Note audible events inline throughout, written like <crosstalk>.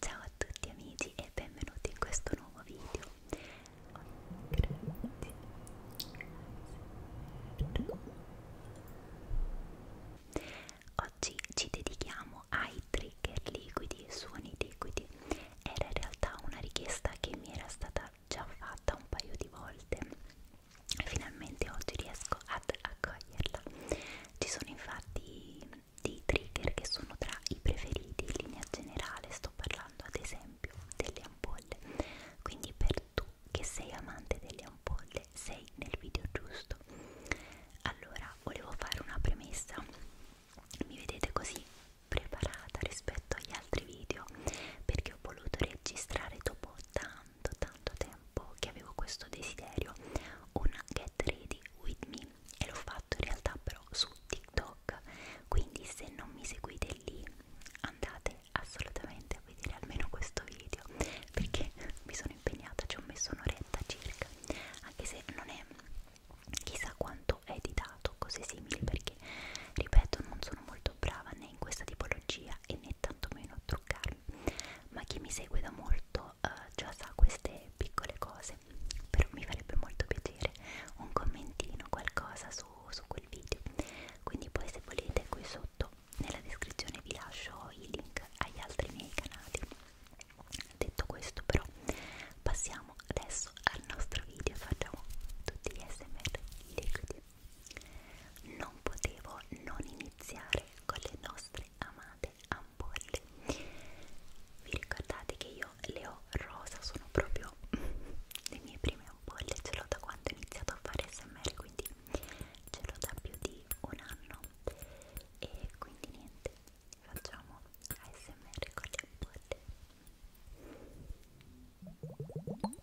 Ciao a tutti amici e benvenuti in questo nuovo video. Oggi ci dedichiamo ai trigger liquidi, suoni liquidi. Era in realtà una richiesta che mi era stata già fatta un paio di volte. Finalmente oggi riesco ad accoglierla. Ci sono infatti dei trigger che sono tra i preferiti in linea generale, sto parlando ad esempio delle ampolle, quindi per tu che sei amante delle ampolle sei nel video giusto. Allora, volevo fare una premessa, mi vedete così preparata rispetto agli altri video perché ho voluto registrare dopo tanto tanto tempo che avevo questo desiderio un get ready with me e l'ho fatto fatto in realtà però su TikTok, quindi se non mi seguite lì andate assolutamente a vedere almeno questo video perché mi sono impegnata, ci ho messo un'oretta circa, anche se non è chissà quanto è editato, cose simili perché ripeto non sono molto brava né in questa tipologia e né tantomeno a truccarmi, ma chi mi segue da molto eh, già sa queste piccole cose mese però mi farebbe molto piacere un commentino qualcosa su, su quel video quindi poi se volete qui sotto nella descrizione vi lascio i link agli altri miei canali detto questo però passiamo adesso al nostro video facciamo tutti gli smr liquidi non potevo non iniziare con le nostre amate amate ampolle vi ricordate che io le ho rosa sono proprio <laughs> le mie prime ampolle ce l'ho da quando ho iniziato a fare smr quindi ce l'ho da più di un anno e quindi niente facciamo ASMR con le ampolle Ecco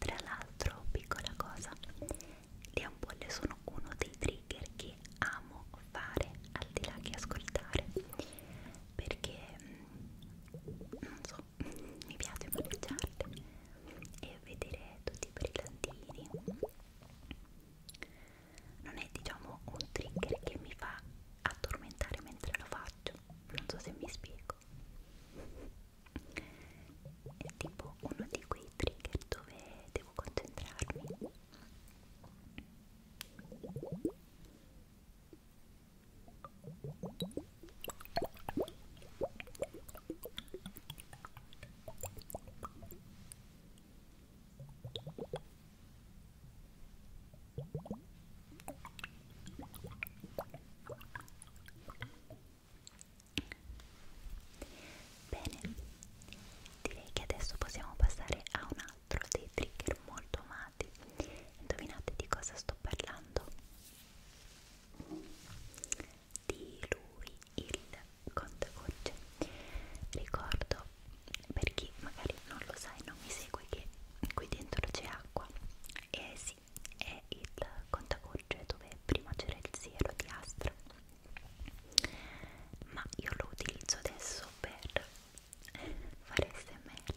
Tra l'altro, piccola cosa, le ampolle sono uno dei trigger che che amo fare al di là che ascoltare perché mm, non so, <laughs> mi piace mangiarle e vedere tutti i brillantini non è diciamo un trigger che mi fa addormentare mentre lo faccio non so se mi spiego è tipo uno di quei trigger dove devo concentrarmi Bene, direi che adesso possiamo passare a un altro 4 dei trigger molto amati indovinate di cosa sto parlando di lui il contagocce ricordo per chi magari non lo sa e non mi segue che qui dentro c'è acqua e eh sì è il contagocce dove prima c'era il siero di Astra ma io lo utilizzo adesso per fare smr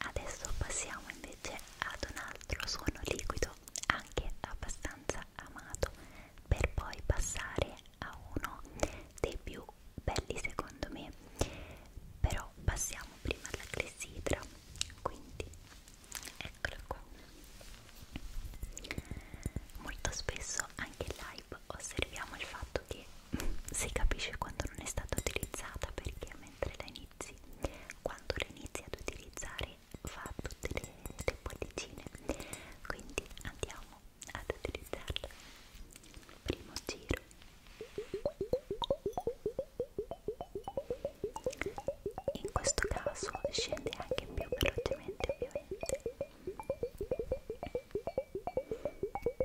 Adesso passiamo invece ad un altro suono liquido, anche abbastanza amato, per poi passare a uno dei più belli secondo me. Però passiamo prima alla clessidra, quindi eccola qua. Molto spesso anche in live osserviamo il fatto che si capisce quando non è stata utilizzata perché mentre la inizi, quando la inizi ad utilizzare fa tutte le, le bollicine quindi andiamo ad utilizzarla primo giro in questo caso scende anche più velocemente ovviamente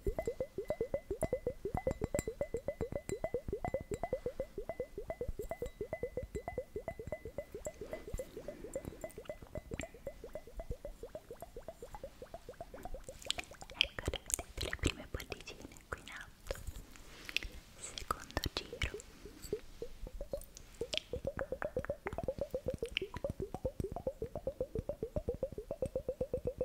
vedete ecco, le prime bollicine qui in alto secondo giro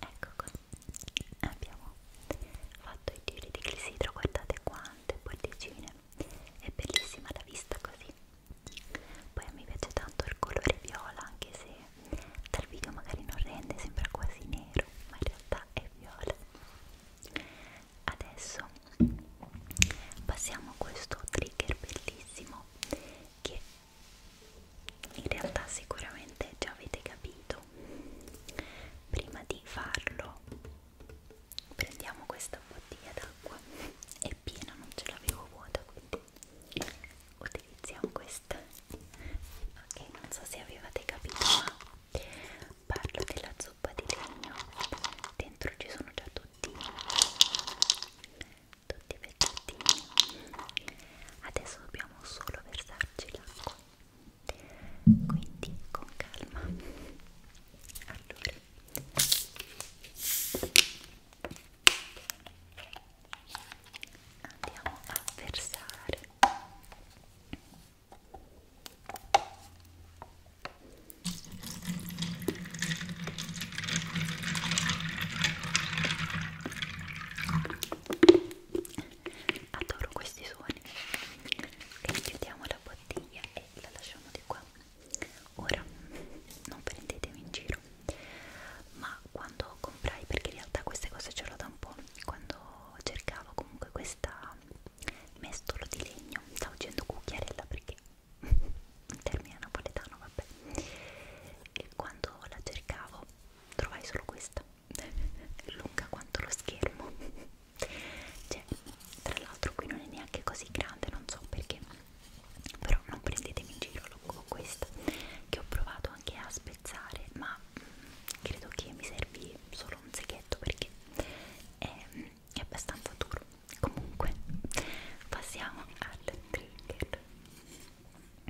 ecco qua abbiamo fatto i giri di clessidro guardate quante bollicine è bellissima la vista così poi mi piace tanto il colore viola anche se dal video magari non rende sembra quasi nero ma in realtà è viola adesso passiamo a questo trigger bellissimo che in realtà sicuramente già avete capito prima di farlo prendiamo questa bottiglia d'acqua è piena non ce l'avevo vuota quindi utilizziamo questa ok non so se avevate capito ma parlo della zuppa di legno dentro ci sono già tutti tutti pezzettini adesso dobbiamo solo versarci l'acqua quindi con calma allora andiamo a versare adoro questi suoni e chiudiamo la bottiglia e la lasciamo di qua ora non prendetemi in giro ma quando comprai perché in realtà queste cose ce l'ho da un po' quando cercavo comunque questa mestolo di legno stavo dicendo cucchiarella perché un <laughs> termine napoletano vabbè e quando quando la cercavo trovai solo questa <laughs> lunga quanto lo schermo cioè tra l'altro qui non è neanche così grande non so perché però non prendetemi in giro con questa che ho provato anche a spezzare ma mm, credo che mi servi solo un seghetto perché è, è abbastanza duro comunque passiamo al trigger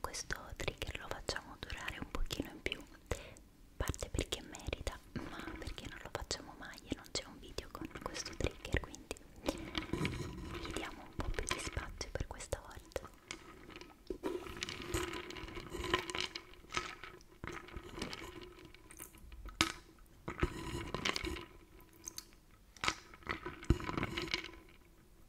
questo trigger lo facciamo durare un pochino in più parte perché merita ma perché non lo facciamo mai e non c'è un video con questo trigger quindi gli diamo un po' più di spazio per questa volta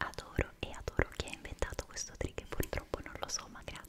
Adoro e adoro chi ha inventato questo trick, purtroppo non lo so, ma grazie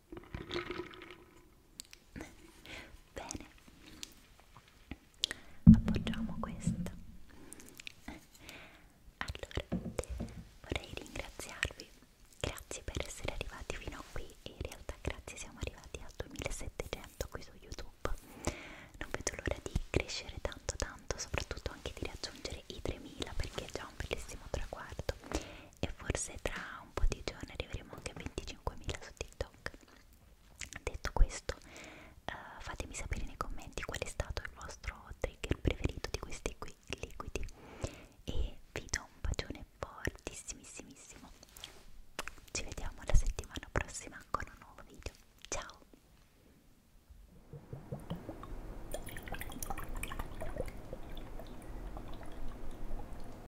bene appoggiamo questa allora vorrei ringraziarvi grazie per essere arrivati fino a qui e in realtà grazie siamo arrivati a 2700 qui su youtube non vedo l'ora di crescere tanto tanto soprattutto anche di raggiungere i 3000 perché è già un bellissimo traguardo e forse tra un po' di giorni arriveremo anche a 25.000 su TikTok. Detto questo, uh, fatemi sapere nei commenti qual è stato il vostro trigger preferito di questi qui liquidi e vi do un bacione fortissimissimo. Ci vediamo la settimana prossima con un nuovo video. Ciao!